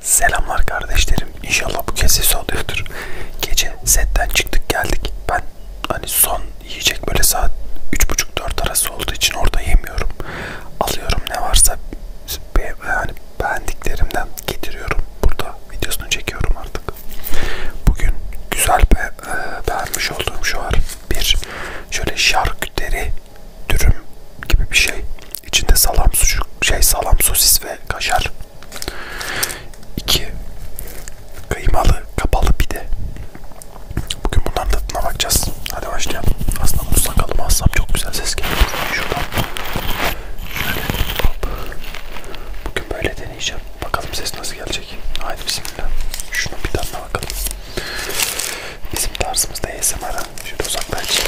Selamlar kardeşlerim. İnşallah bu kez ses oluyordur. Gece setten çıktık geldik. Ben hani son yiyecek böyle saat 3.30-4 arası olduğu için orada yemiyorum. Alıyorum ne varsa be, yani beğendiklerimden getiriyorum. Burada videosunu çekiyorum artık. Bugün güzel be, e, beğenmiş olduğum şu var. Bir şöyle şarküteri dürüm gibi bir şey. İçinde salam sucuk, şey salam sosis ve kaşar. 2. Kıymalı kapalı pide. Bugün bunların tadına bakacağız. Hadi başlayalım. Aslında bunu sakalıma assam çok güzel ses geliyor. Şuradan. Şöyle. Bugün böyle deneyeceğim. Bakalım ses nasıl gelecek. Haydi bismillah. Şunun bir tadına bakalım. Bizim tarzımızda ASMR Şöyle uzaklaş.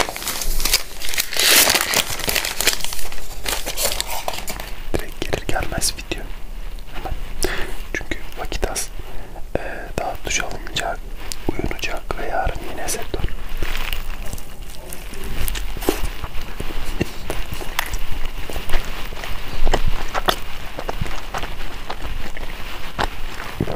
Direkt gelir gelmez video. Hemen. Çünkü vakit az. Ee, daha duş alınacak, uyunacak ve yarın yine sektör.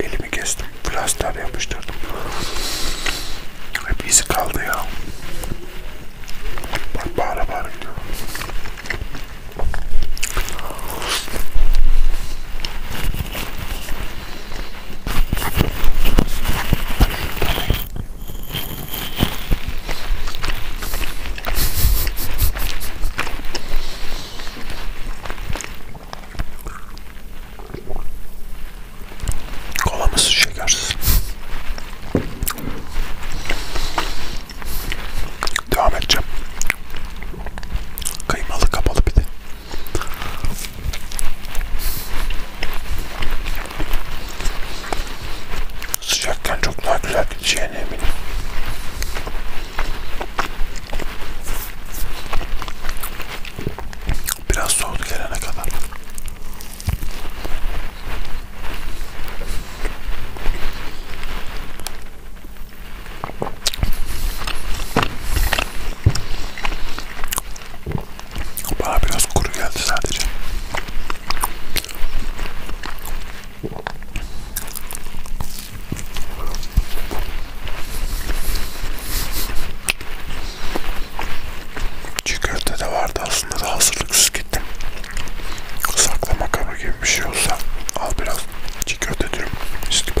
Elimi kestim. Plaster yapıştırdım. Hep izi kaldı ya. Bak bağıra bağıra gidiyor. Kolamız şekersiz. Devam edeceğim. Kıymalı kapalı bir de. Sıcakken çok daha güzel gideceğine eminim. Biraz soğudu gelene kadar. Bana biraz kuru geldi sadece. Çiğ köfte de vardı aslında da hazırlıksız gittim. Saklama kabı gibi bir şey olsa al biraz çiğ köfte diyorum. İşte bu.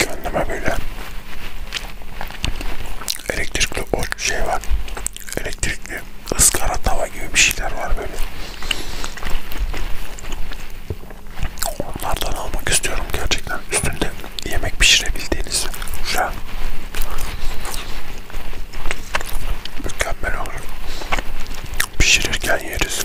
gönlüme böyle elektrikli o şey var elektrikli ızgara tava gibi bir şeyler var böyle onlardan almak istiyorum gerçekten üstünde yemek pişirebildiğiniz güzel mükemmel olur pişirirken yeriz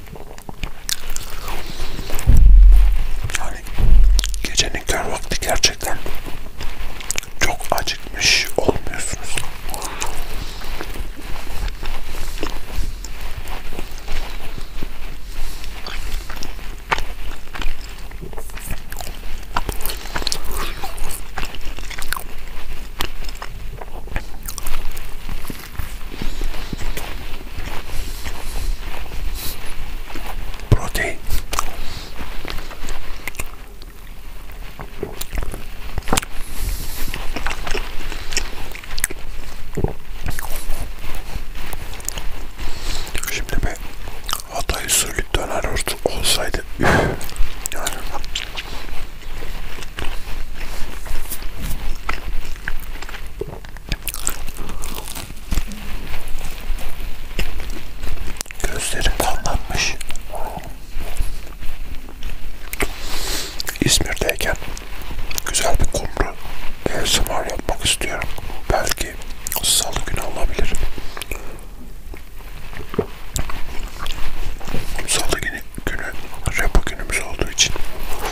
Yani gecenin kör vakti gerçekten çok acıkmış olmuyorsunuz. Protein. Şimdi bir Hatay usulü döner olsaydı üf, yani Gözlerim kanlanmış. İzmir'deyken güzel bir kumru ASMR yapmak istiyorum. Belki salı günü olabilir. Salı günü, günü repo günümüz olduğu için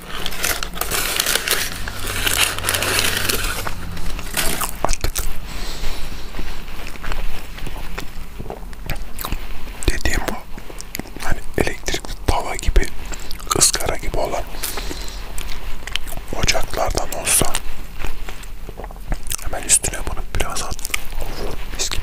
Artık dediğim bu hani elektrikli tava gibi ızgara gibi olan ocaklardan olsa hemen üstüne bunu biraz at. Of, mis gibi.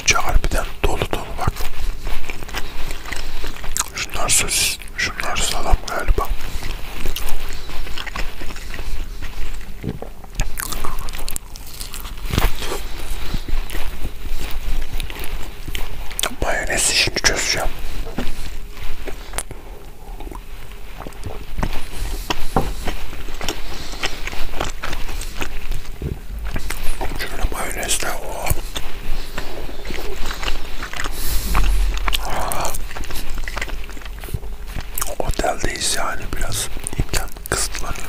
İçi harbiden dolu dolu bak. Şunlar sosis Şunlar salam galiba. Mayonez işini çözeceğim. Şöyle mayonezle o Oteldeyiz yani biraz imkan kısıtlanıyor.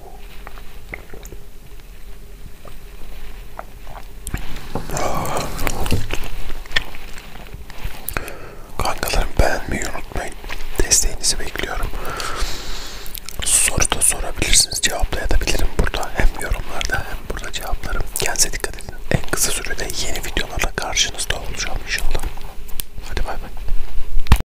Kankalarım beğenmeyi unutmayın. Desteğinizi bekliyorum. Soru da sorabilirsiniz. Cevaplayabilirim burada. Hem yorumlarda hem burada cevaplarım. Kendinize dikkat edin. En kısa sürede yeni videolarla karşınızda olacağım inşallah. Hadi bay bay.